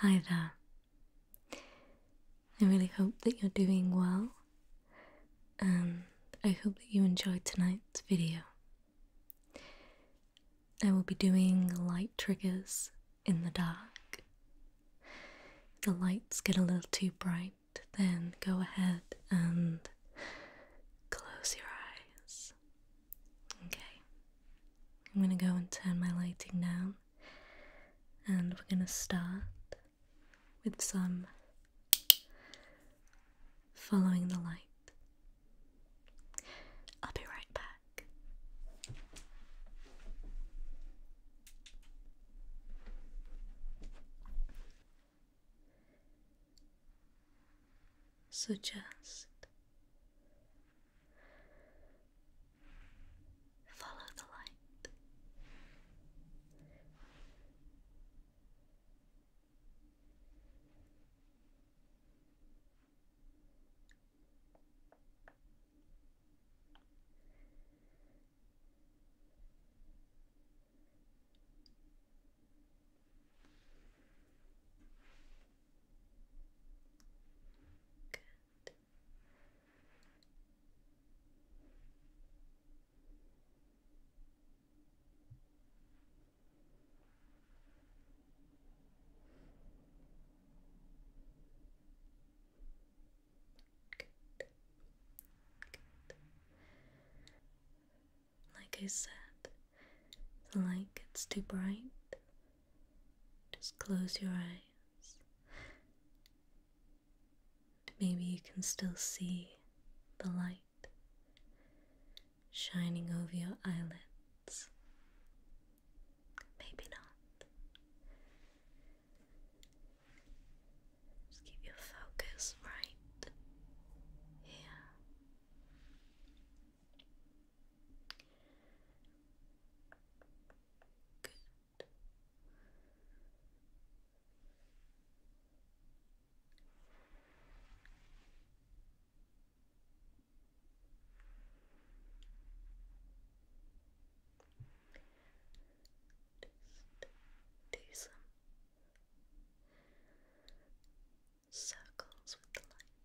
Hi there. I really hope that you're doing well, and um, I hope that you enjoyed tonight's video. I will be doing light triggers in the dark. If the lights get a little too bright, then go ahead and close your eyes. Okay. I'm going to go and turn my lighting down. And we're going to start with some following the light. I'll be right back. So just Follow the light. Like I said, the light gets too bright, just close your eyes. Maybe you can still see the light shining over your eyelids. Maybe not. Just keep your focus right here. Good. Just do some circles with the light.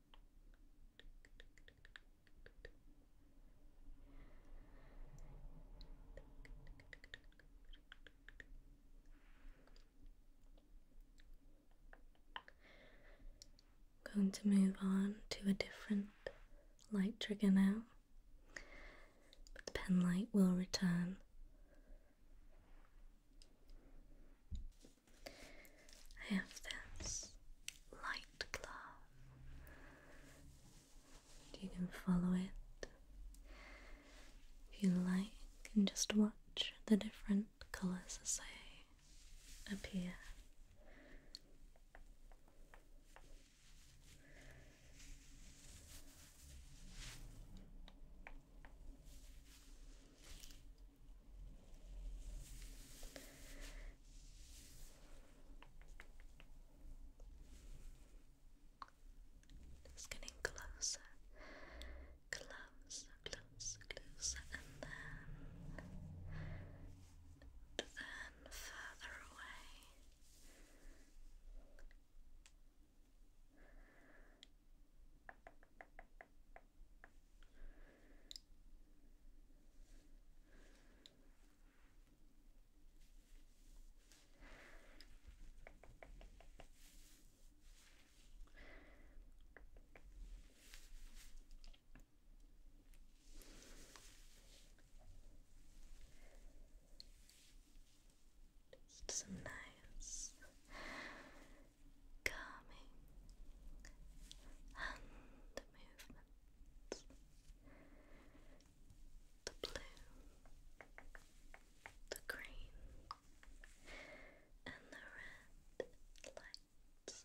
going to move on to a different light trigger now, but the pen light will return. I have this light glove. You can follow it if you like and just watch the different colors as they appear. Just getting closer, closer, closer, closer, and then, then further away. Just some nice calming and movements. The blue, the green, and the red lights.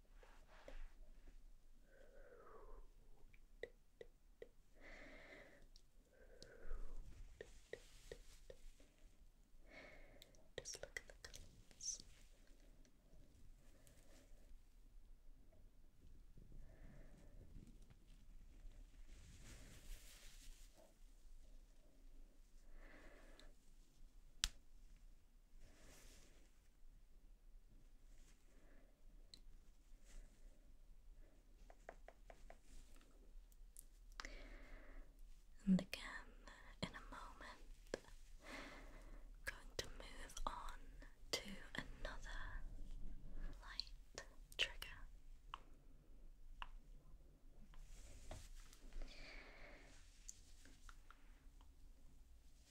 Just look at the colors. Just and again, in a moment, I'm going to move on to another light trigger.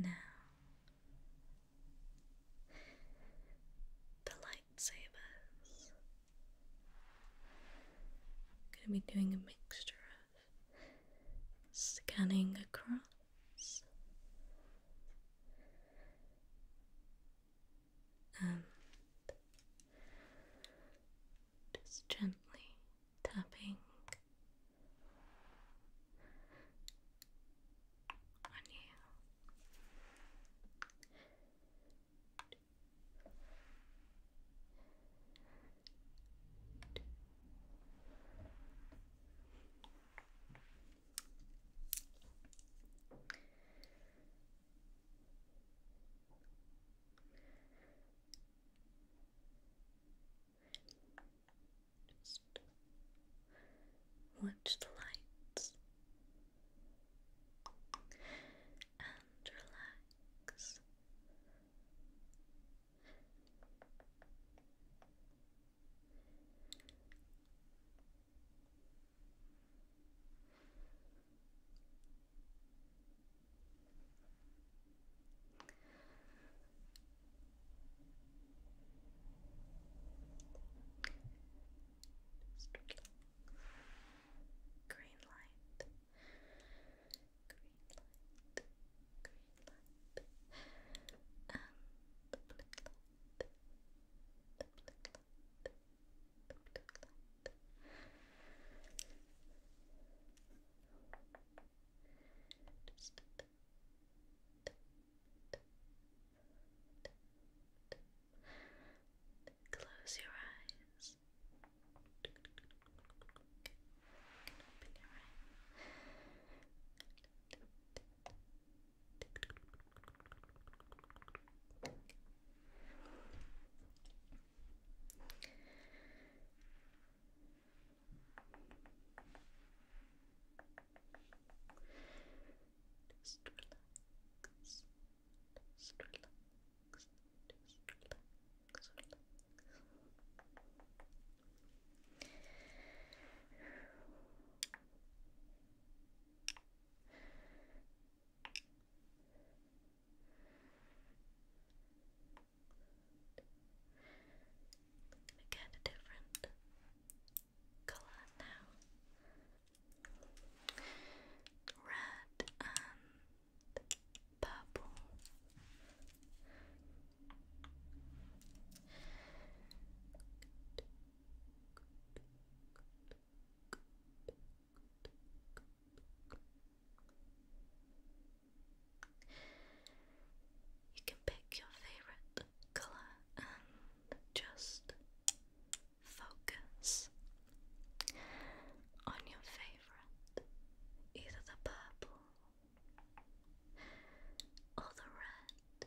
Now, the lightsabers. I'm going to be doing a mixture of scanning across and just gently tapping on you watch the lights and relax. Just relax. Green light. Green light. Green light. Um, Close your eyes. open your eyes. Just relax. Just relax. Just relax. relax. Let me different color now. Red and purple. You can pick your favorite color and just focus on your favorite, either the purple or the red.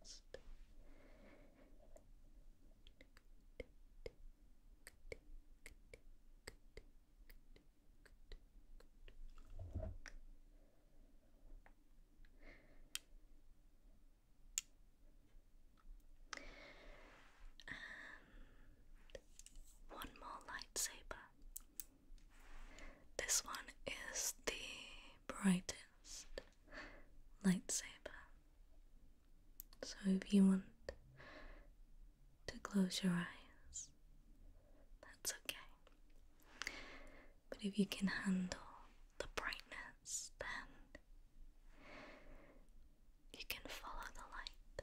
Just and one more lightsaber this one is the brightest lightsaber. So if you want to close your eyes, that's okay. But if you can handle the brightness, then you can follow the light.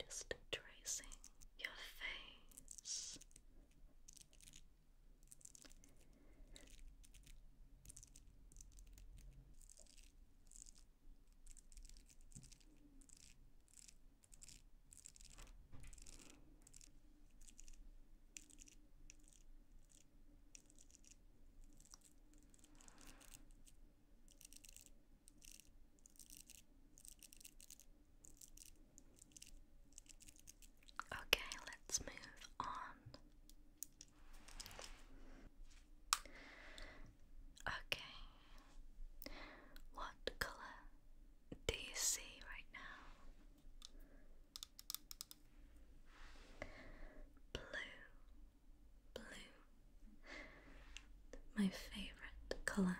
just tracing your face. Okay, let's move on. Okay, what color do you see right now? Blue, blue my favorite color.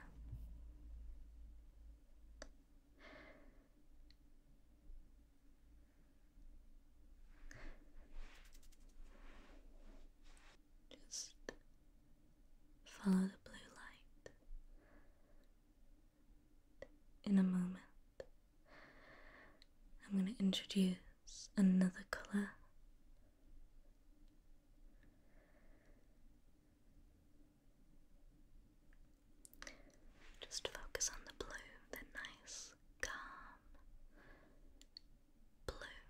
Just follow the blue light. In a moment, I'm going to introduce another color. Just focus on the blue, the nice, calm blue.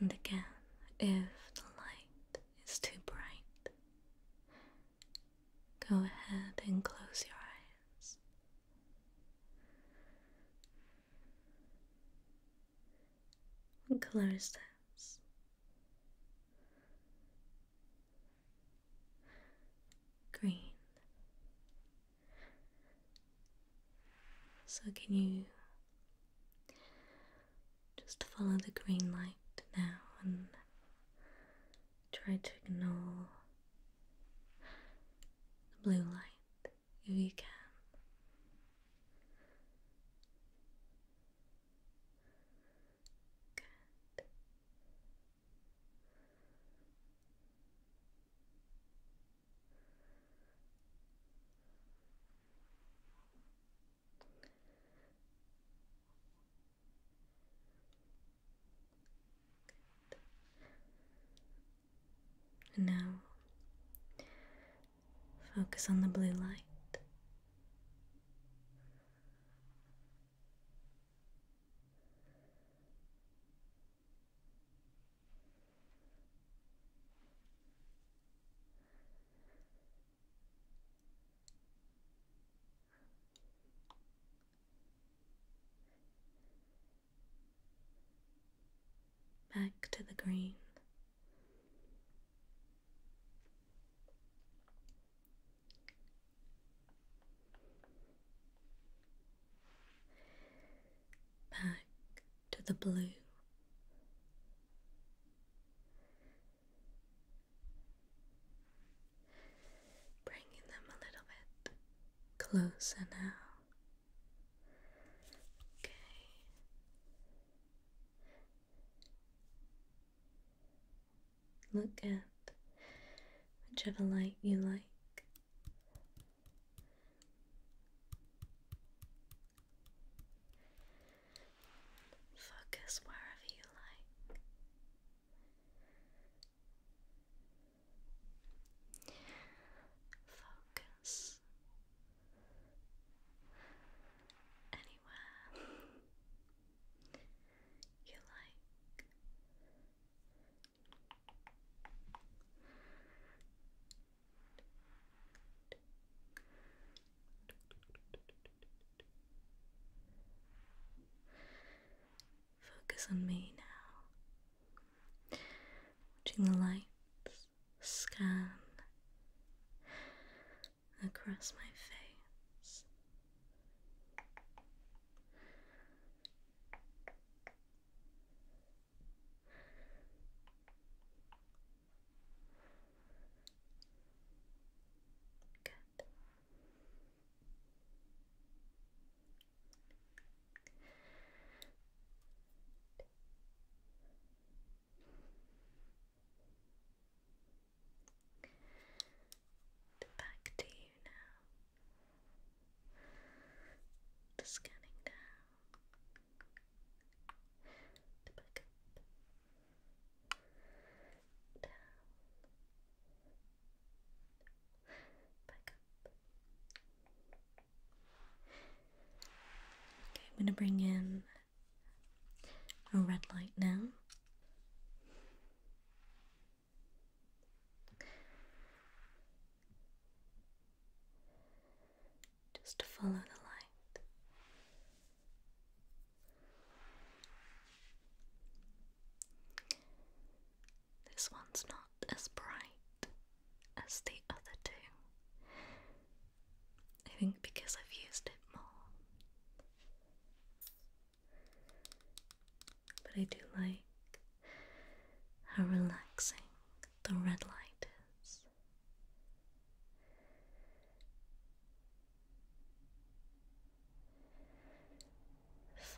And again, if the light is too bright, go ahead and close your eyes what color is those. Green. So, can you just follow the green light now and try to ignore the blue light if you can. Good. Good now, focus on the blue light back to the green. Back to the blue, bringing them a little bit closer now. Okay. Look at whichever light you like. Focus wherever you like. Focus anywhere you like. Focus on me now. Watching the lights scan across my face. Good. Back to you now. The scanning down. The back Down. Okay, I'm going to bring in a red light now. Just follow the light. This one's not as bright as the other two. I think because I've used it more. But I do like how relaxing the red light is.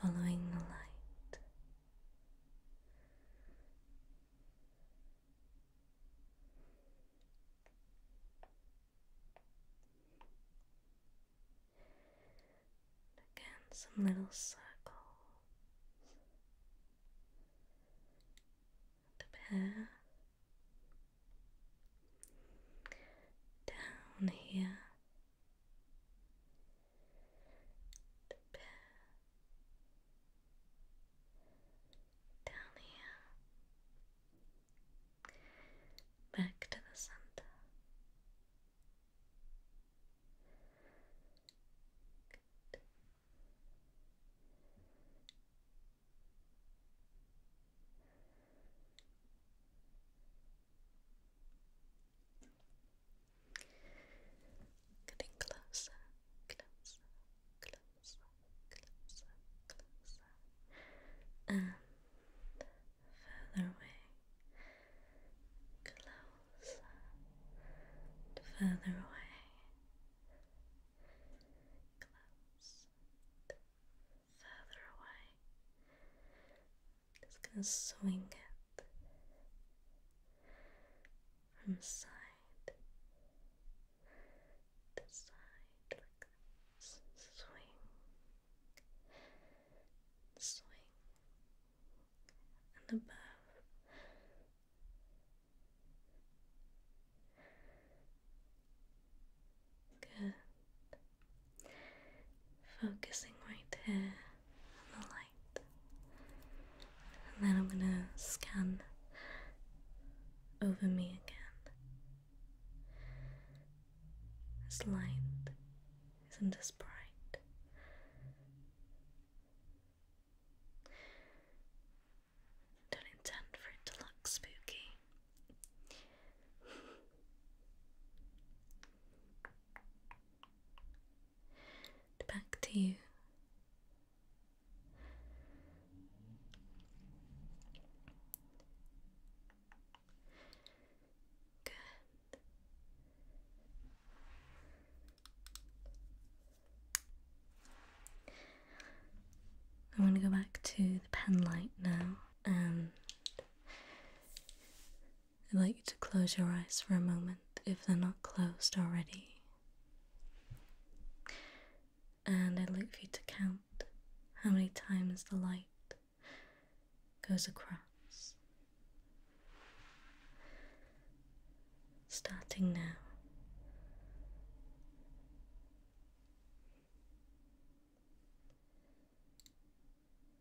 Following the light Again, some little circles the hair down here the bit down here, back to the center. Getting closer, closer, closer, closer, closer, and further away, closer, further away, close, further away. Just gonna swing it from side to side like this. Swing, swing, and above. Good. Focusing right here on the light. And then I'm going to scan over me again. This light isn't as bright. Don't intend for it to look spooky back to you. Good. I want to go back to the pen light now and I'd like you to close your eyes for a moment if they're not closed already. And I'd like for you to count how many times the light goes across. Starting now.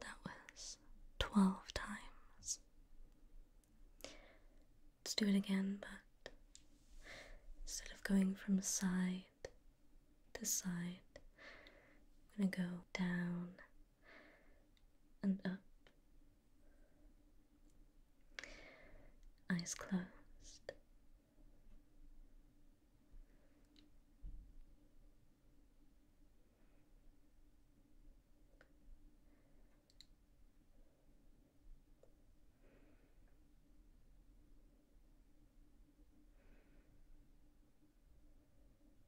That was 12 times. Let's do it again, but instead of going from side to side, I'm going to go down and up. Eyes closed.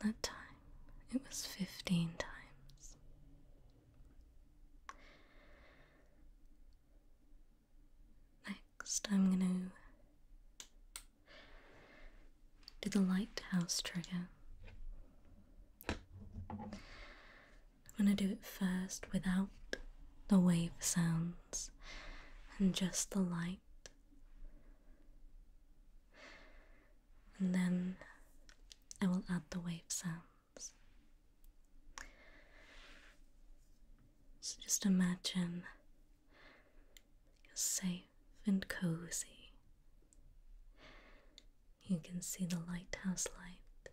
That time it was fifteen times. Next, I'm going to do the lighthouse trigger. I'm going to do it first without the wave sound and just the light. And then I will add the wave sounds. So just imagine you're safe and cozy. You can see the lighthouse light.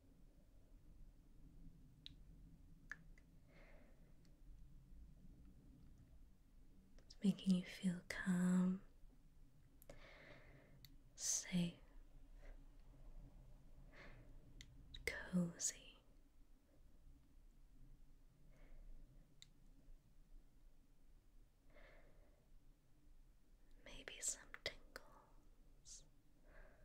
It's making you feel calm, safe, cozy. Maybe some tingles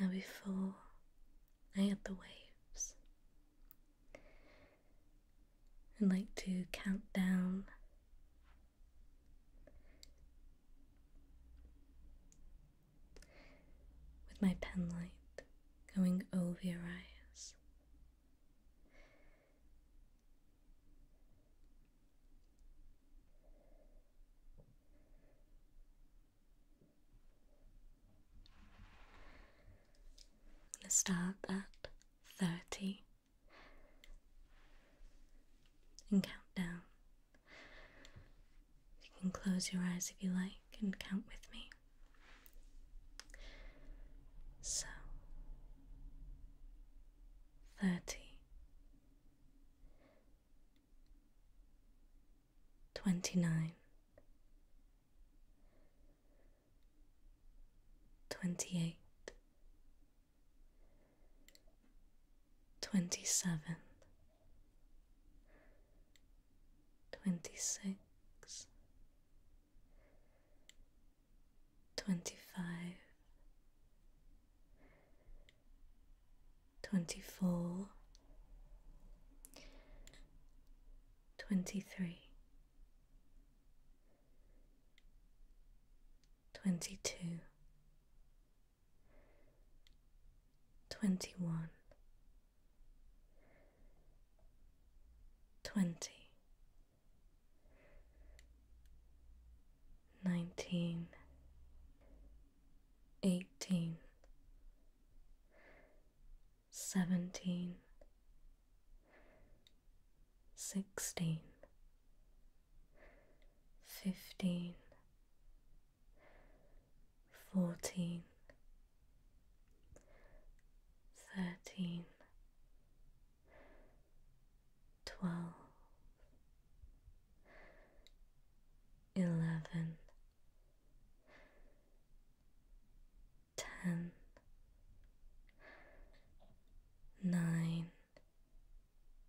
Now, before I add the waves, I'd like to count down with my penlight going over your eyes. I'm gonna start at thirty and count down you can close your eyes if you like and count with me. So, thirty, twenty nine, twenty eight, twenty seven twenty six, twenty five, twenty four, twenty three. 22 twenty one, twenty, nineteen, eighteen, seventeen, sixteen, fifteen fourteen, thirteen, twelve, eleven, ten, nine,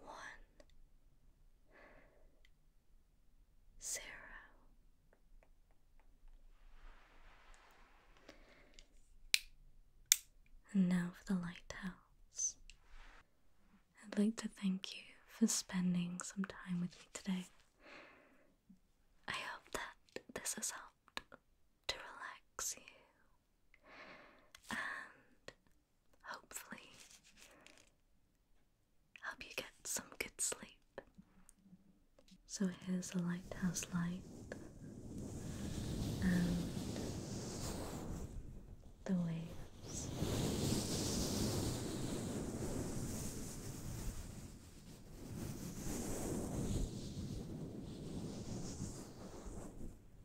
one zero. And now for the lighthouse. I'd like to thank you for spending some time with me today. I hope that this has helped to relax you and hopefully help you get some good sleep. So here's a lighthouse light and the waves.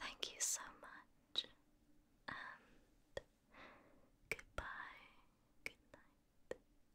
Thank you so much, goodbye, good night.